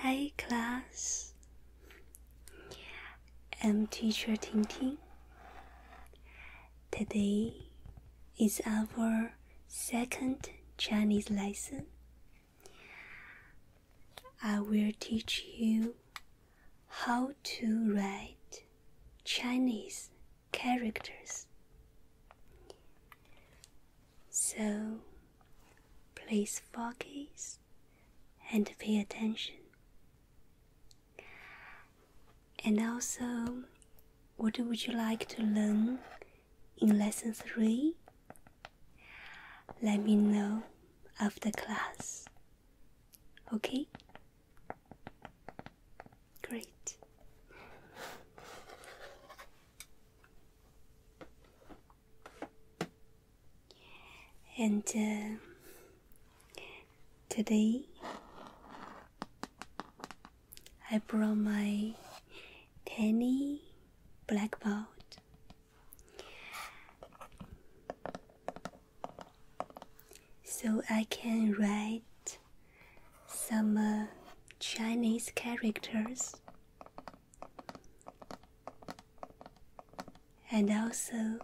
Hi, class. I'm teacher Ting Ting. Today is our second Chinese lesson. I will teach you how to write Chinese characters. So please focus and pay attention. And also, what would you like to learn in lesson three? Let me know after class. Okay? Great. And uh, today I brought my tiny blackboard. So I can write some uh, Chinese characters, and also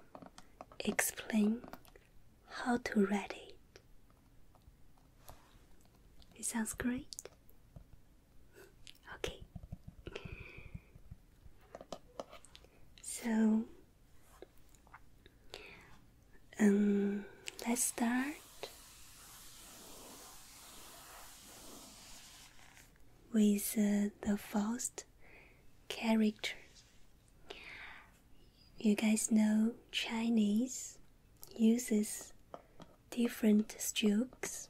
explain how to read it. It sounds great. Okay. So, um, let's start with uh, the first character. You guys know Chinese uses different strokes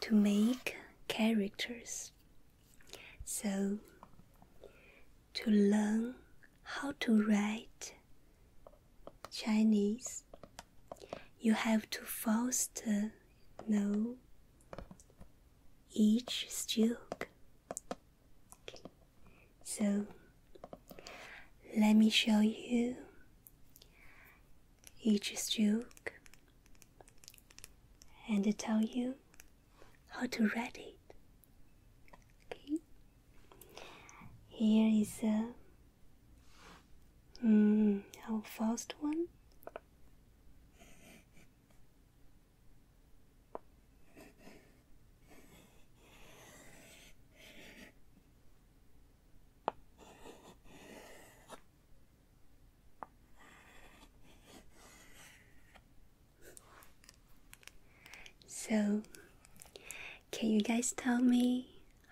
to make characters. So, to learn how to write Chinese, you have to foster know each stroke. So let me show you each stroke and tell you how to write it. Okay. Here is a mm, our first one. So, can you guys tell me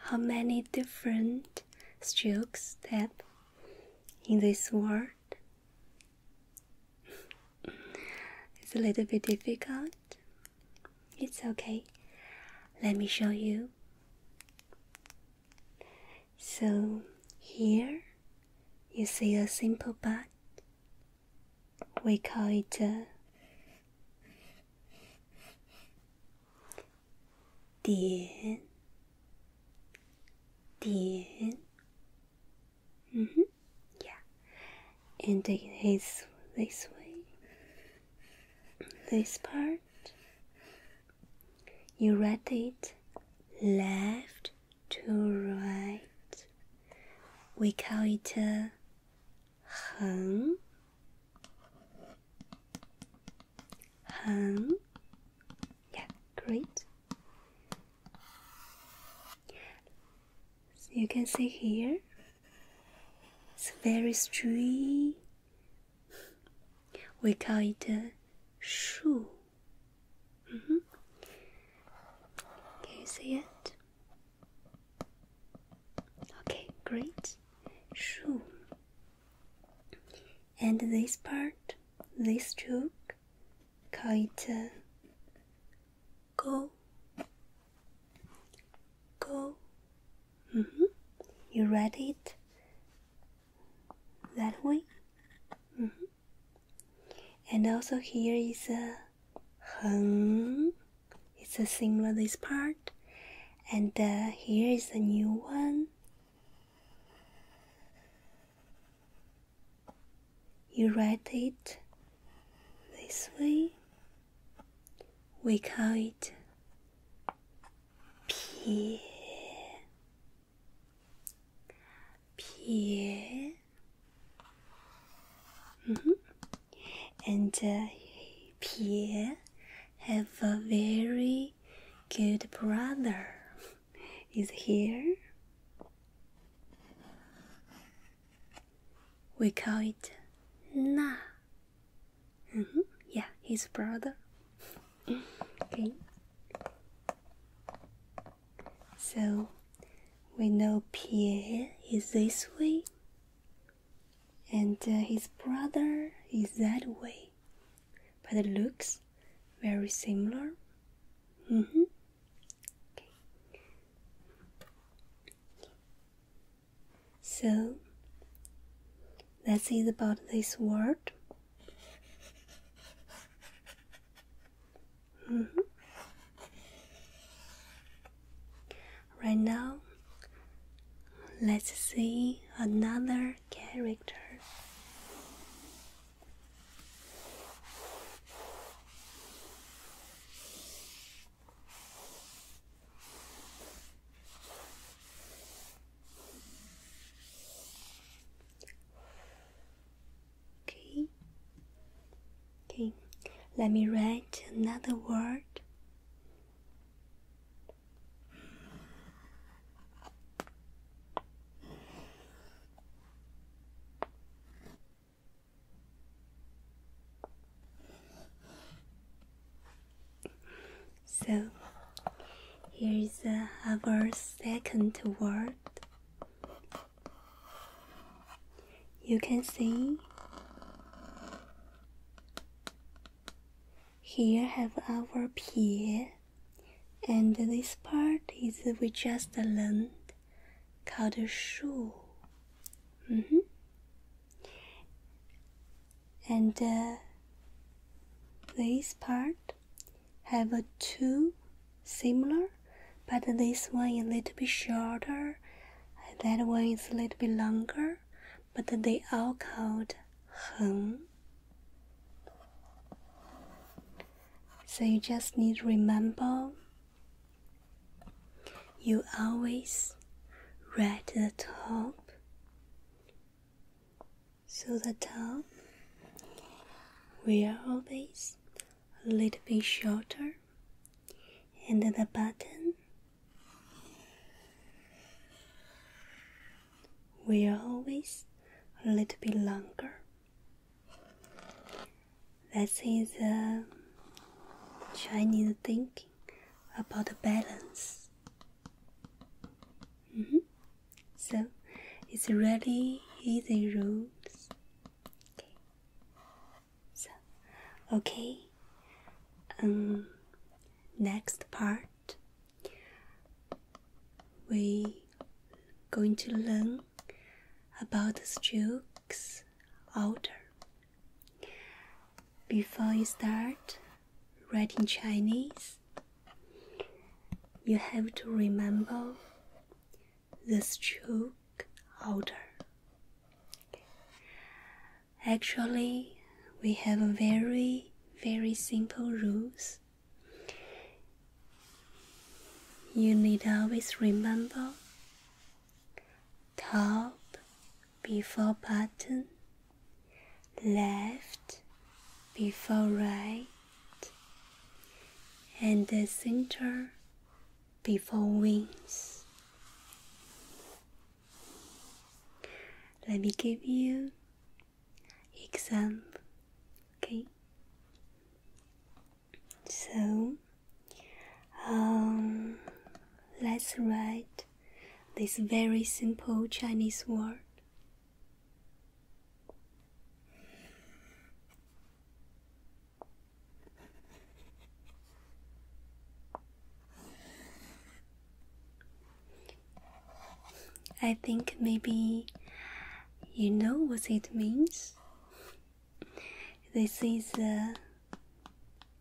how many different strokes tap in this word. It's a little bit difficult. It's okay. Let me show you. So here you see a simple bud. We call it a 点点。Mm hmm. Yeah. And take this this way. This part. You read it left to right. We call it 很很 great you can see here it's very straight we call it a shoe mm -hmm. can you see it Okay, great. Shoe. And this part, this joke, call go. Go. Mm -hmm. You read it that way. Mm -hmm. And also here is a heng it's the same with this part and uh, here is the new one you write it this way we call it pie pie mm-hmm. and uh, pie have a very good brother. Is here. We call it Na. Mm -hmm. Yeah, his brother. okay. So we know Pierre is this way and uh, his brother is that way, but it looks very similar. Mm-hmm. So that's it about this word. Mm-hmm. Right now, let's see another character. Okay. Okay, let me write another word. So, here is uh, our second word. You can see here have our pier, and this part is we just learned called shoe. Mm And uh, this part have two similar, but this one is a little bit shorter, and that one is a little bit longer but they all called Heng. So you just need to remember you always write the top. So the top will always a little bit shorter and the button we are always a little bit longer. That is the um, Chinese thinking about balance. Mm -hmm. So it's really easy rules. Okay. So okay. Um, next part we going to learn about the strokes order. Before you start writing Chinese, you have to remember the stroke order. Actually, we have very, very simple rules. You need always remember top before bottom, left before right, and the center before wings. Let me give you example, okay? So, um, let's write this very simple Chinese word. I think maybe you know what it means. This is uh,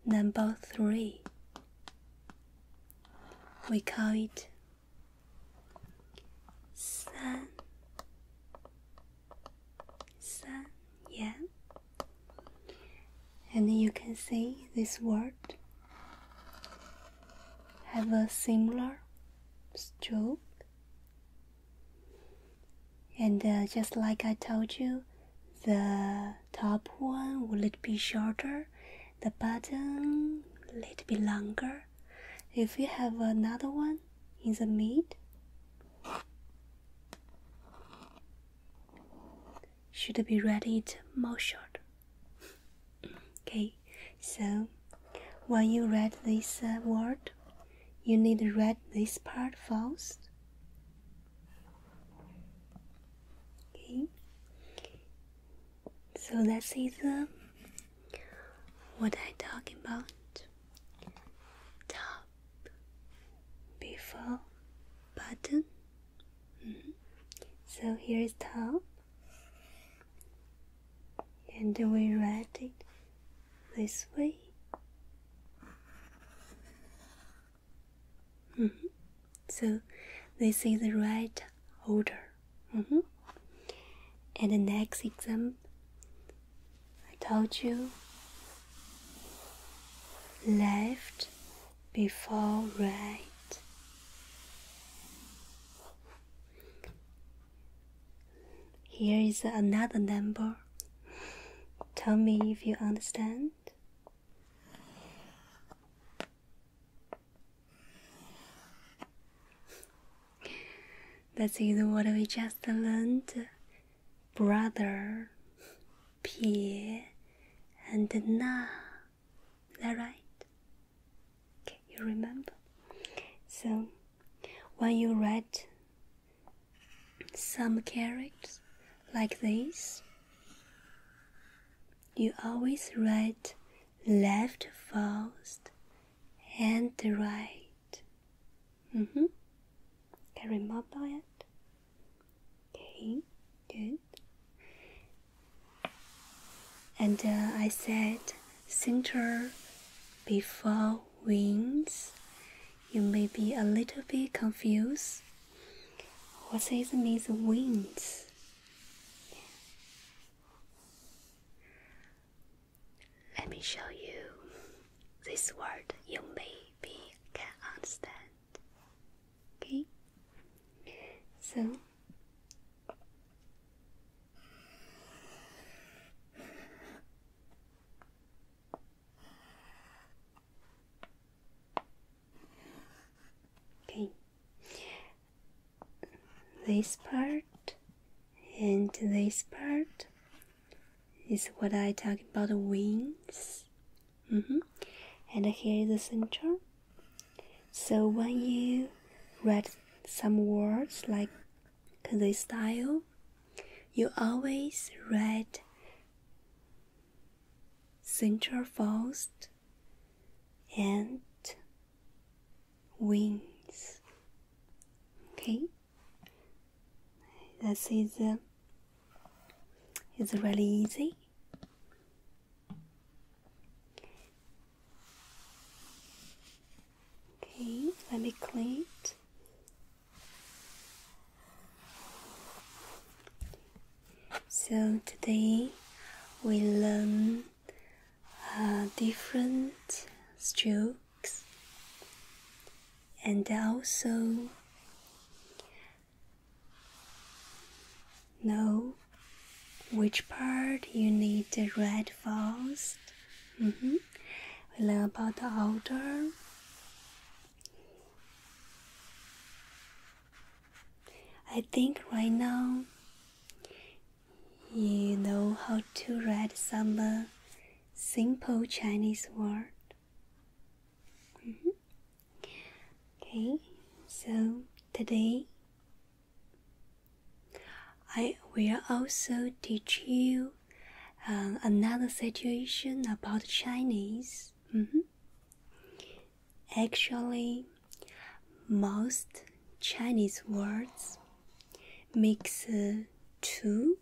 number three. We call it sun. Sun, yeah. And you can see this word have a similar stroke. And uh, just like I told you, the top one will it be shorter, the bottom a little bit longer. If you have another one in the mid, should be ready more short. Okay, so when you read this uh, word, you need to read this part first. Okay, so that is uh, what I talk about. Top before button. Mm-hmm. So here is top and we write it this way. Mm-hmm. So, this is the right order. Mm-hmm. And the next example, I told you left before right here is another number tell me if you understand that's is what we just learned brother peer and now is that right? Okay, you remember. So, when you read some characters like this, you always write left first and right. Mm-hmm. Can you remember it? Okay, good. And uh, I said, center before wings. You may be a little bit confused. What is means wings? Let me show you this word. You may be can understand. Okay. So Okay. This part and this part is what I talk about wings. Mm -hmm. And here is the center so when you read some words like this style, you always read central first and wings. Okay, this is uh, really easy. Okay, let me clean it. So today we learn uh, different strokes and also know which part you need to read first. Mm -hmm. We learn about the outer. I think right now you know how to read some uh, simple Chinese word. Mm -hmm. Okay, so today I will also teach you uh, another situation about Chinese. Mm-hmm. Actually, most Chinese words mix uh, two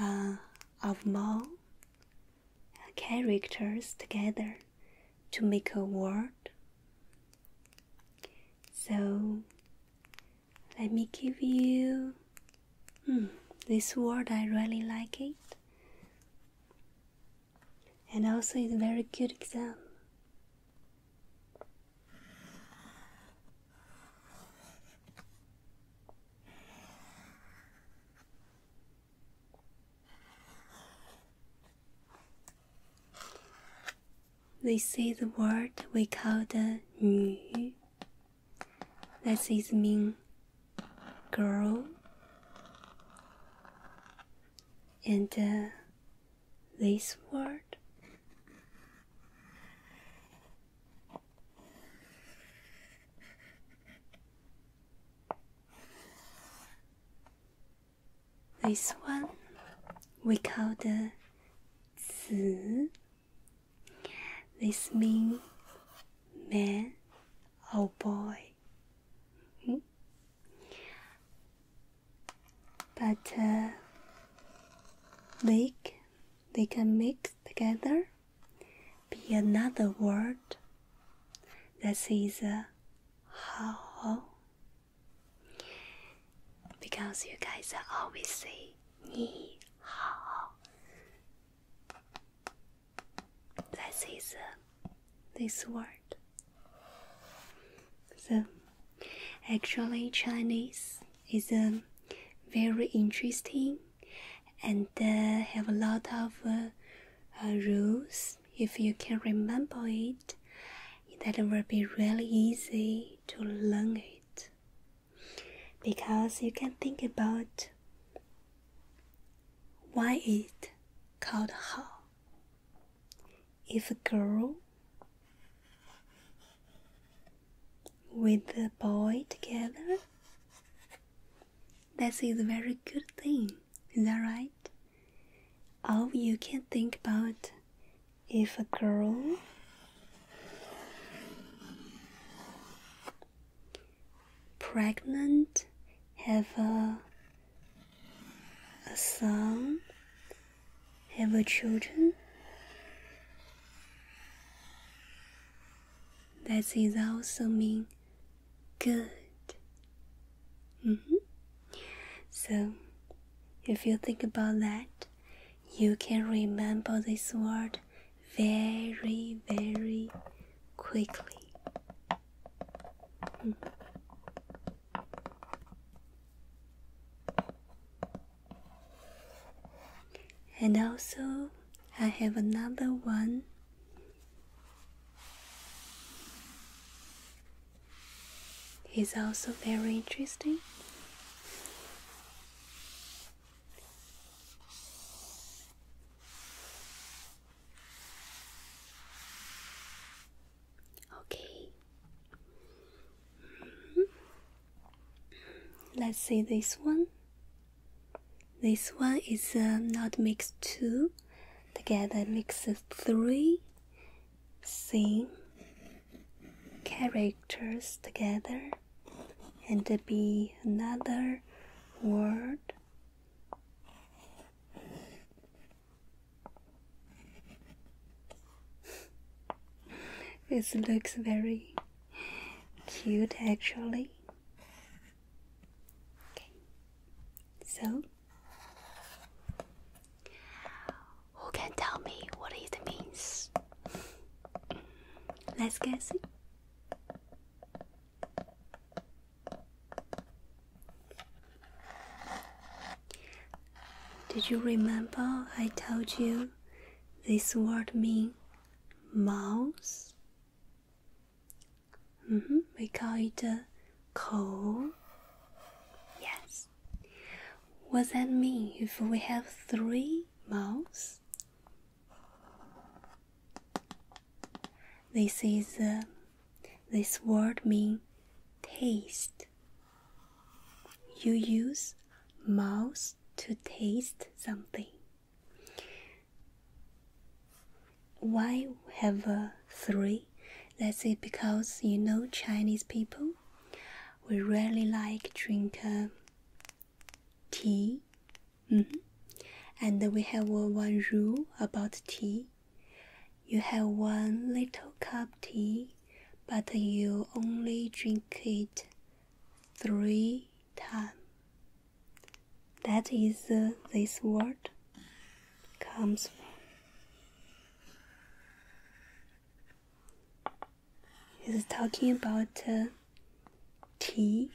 uh, of more characters together to make a word. So let me give you hmm, this word, I really like it. And also, it's very good exam. They say the word we call the 女 that is mean girl and uh, this word this one we call the zi. This means man or boy. But uh, they, can mix together, be another word. That is uh, how. Because you guys always say ni That is uh, this word. So, actually, Chinese is um, very interesting and uh, have a lot of uh, uh, rules if you can remember it, that will be really easy to learn it because you can think about why it called how. If a girl with the boy together, that is a very good thing. Is that right? Oh, you can think about if a girl pregnant have a, a son have a children that is also mean good Mm -hmm. So, if you think about that, you can remember this word very, very quickly. Mm. And also, I have another one is also very interesting. Okay. Mm-hmm. Let's see this one. This one is uh, not mixed two, together mixed three, sing characters together and be another word. This looks very cute actually. Okay. So who can tell me what it means? Let's guess. Did you remember I told you this word means mouse? Mm -hmm. We call it a coal. Yes mouths. What that mean if we have three mouths? This is uh, this word mean taste. You use mouth to taste something. Why have uh, three that's it because you know Chinese people, we really like drink uh, tea, mm-hmm. and we have one rule about tea. You have one little cup tea, but you only drink it three times. That is uh, this word comes from. He's talking about uh, tea.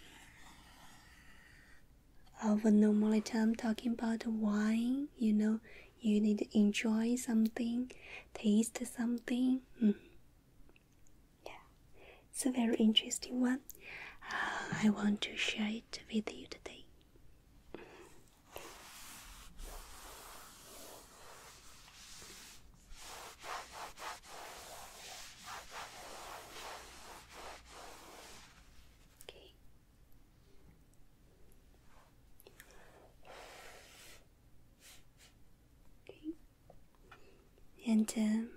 Of normally, i talking about wine. You know, you need to enjoy something, taste something. Mm. Yeah, it's a very interesting one. Uh, I want to share it with you today. Mm. Okay. Okay. And um,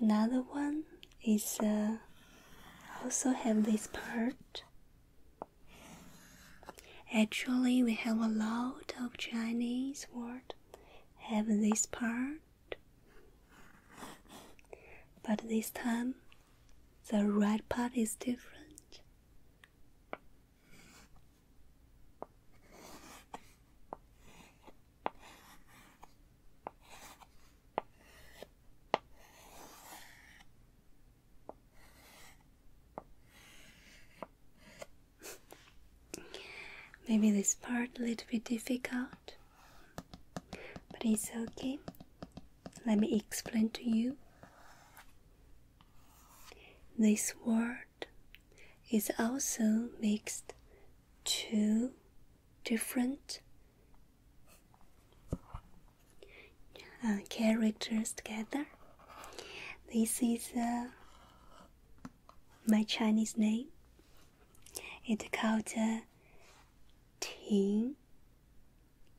another one is uh, also have this part Actually, we have a lot of Chinese words have this part, but this time the right part is different. Maybe this part a little bit difficult, but it's okay. Let me explain to you. This word is also mixed two different uh, characters together. This is uh, my Chinese name. It's called uh, Ting.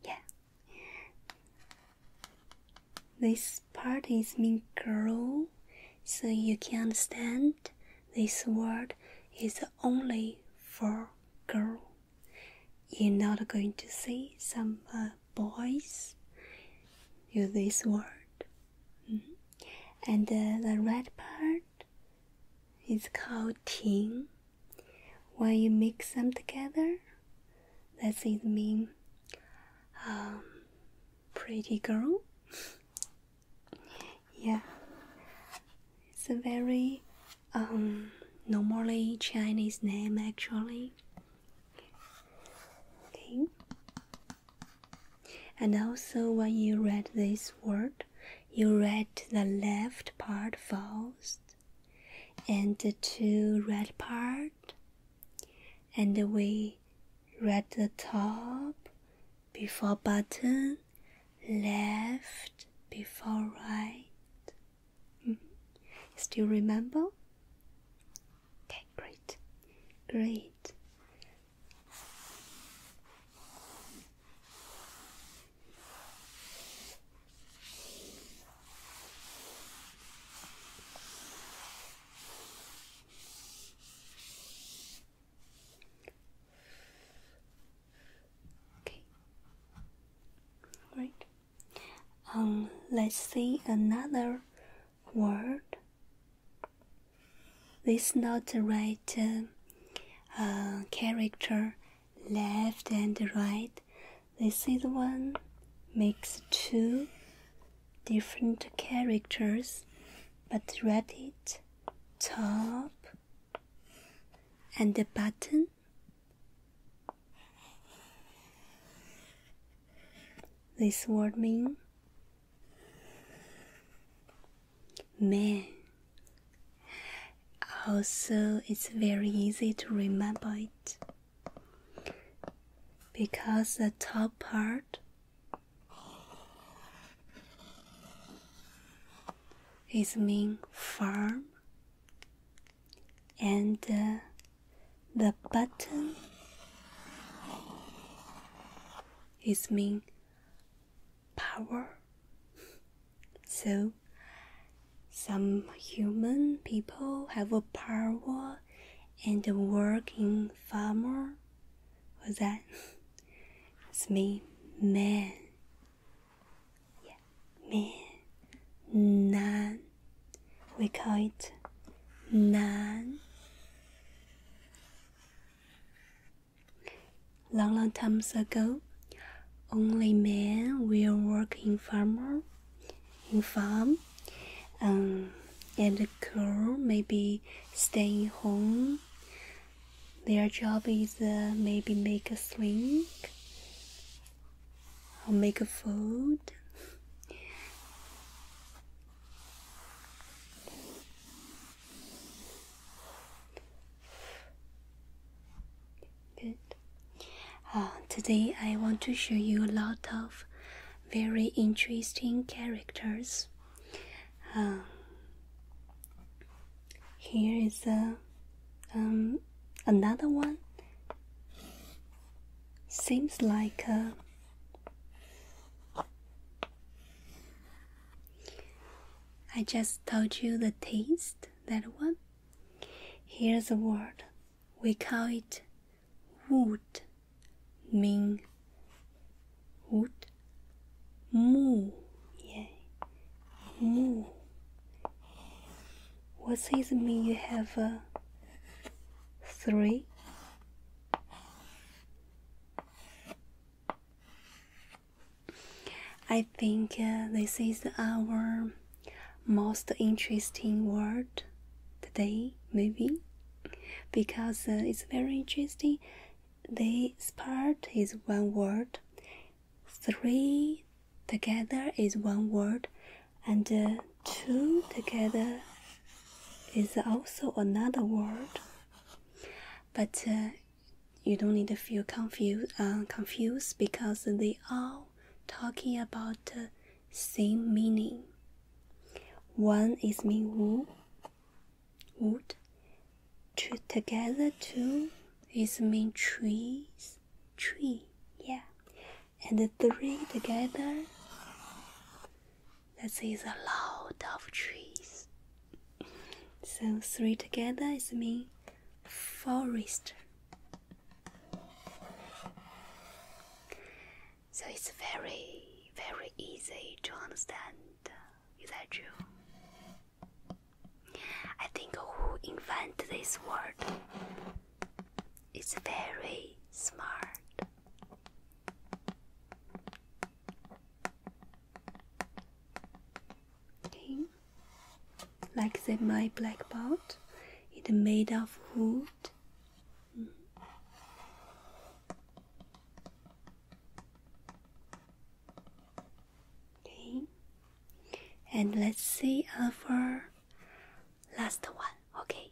Yeah. This part is mean girl, so you can understand this word is only for girl. You're not going to see some uh, boys use this word. Mm-hmm. And uh, the red part is called ting. When you mix them together, that's it mean um, pretty girl. yeah, it's a very um, normally Chinese name actually. Okay. And also, when you read this word, you read the left part first, and the two red part, and we read the top before button, left before right. -hmm. Still remember? Okay, great, great. Okay. Right. Um, let's see another word. This not the right uh, uh, character, left and right. This is one makes two different characters, but write it top and the button this word means man. Also, it's very easy to remember it because the top part is mean farm and uh, the button is mean power. So some human people have a power and work in farmer. What's that? It's me, man. Yeah, man. Nan we call it nan. Long, long times ago, only men will work in farmer, in farm, um, and the girl maybe staying home. Their job is uh, maybe make a swing I'll make a fold. Good. Uh, today I want to show you a lot of very interesting characters. Um, here is a, uh, um, another one seems like uh, I just told you the taste, that one. Here's a word. We call it wood, Ming wood. Mu, yeah. Mu. What does it mean you have a uh, three? I think uh, this is our most interesting word today, maybe, because uh, it's very interesting. This part is one word, three together is one word, and uh, two together is also another word but uh, you don't need to feel confused uh, confused because they are talking about the uh, same meaning one is mean wood wood two together two is mean trees tree yeah and the three together. That is a lot of trees. So three together is mean forest. So it's very, very easy to understand. Is that true? I think who invent this word it's very smart. Okay. Like the my black boat, it's made of wood. Okay. And let's see our last one, okay?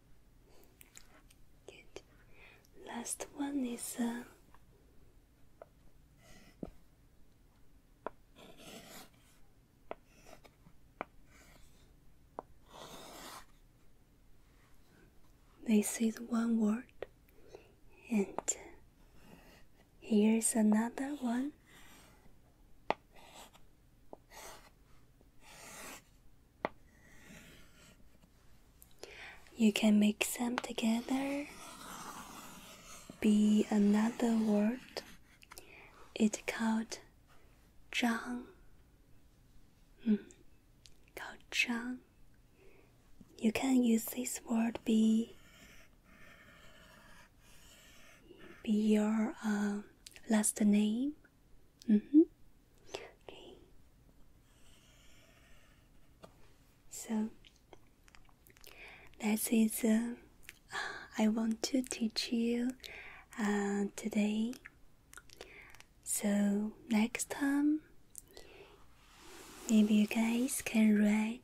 Last one is uh, they say one word, and here's another one. You can mix them together, be another word. It's called Zhang. Mm, called Zhang. You can use this word be be your uh, last name Mm-hmm. Okay. So that is uh, I want to teach you uh, today. So next time, maybe you guys can write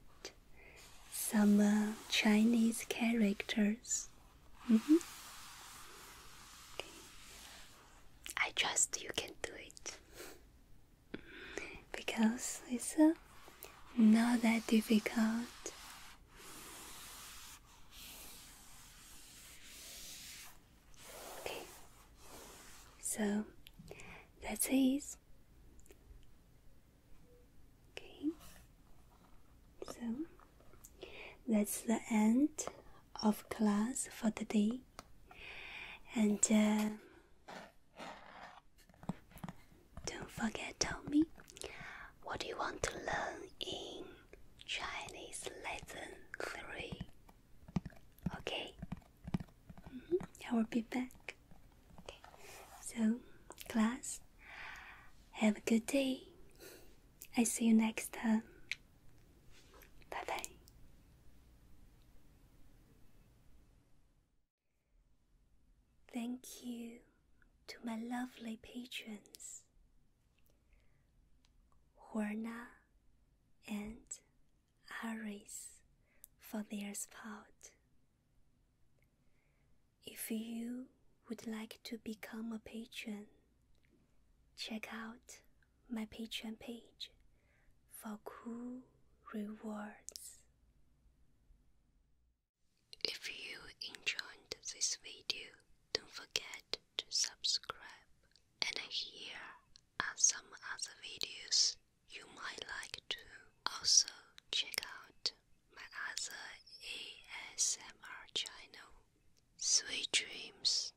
some uh, Chinese characters. Mm -hmm. okay. I trust you can do it because it's not that difficult. Okay, so that's it. Okay, so that's the end of class for the day, and uh, don't forget tell me what do you want to learn in Chinese lesson three. Okay, mm-hmm. I will be back. Okay. So, class, have a good day. I see you next time. Bye bye. Thank you to my lovely patrons, Horna and Aris, for their support. If you would like to become a patron, check out my Patreon page for cool rewards. If you enjoyed this video, don't forget to subscribe. And here are some other videos you might like to also check out my other ASMR channel, Sweet Dreams.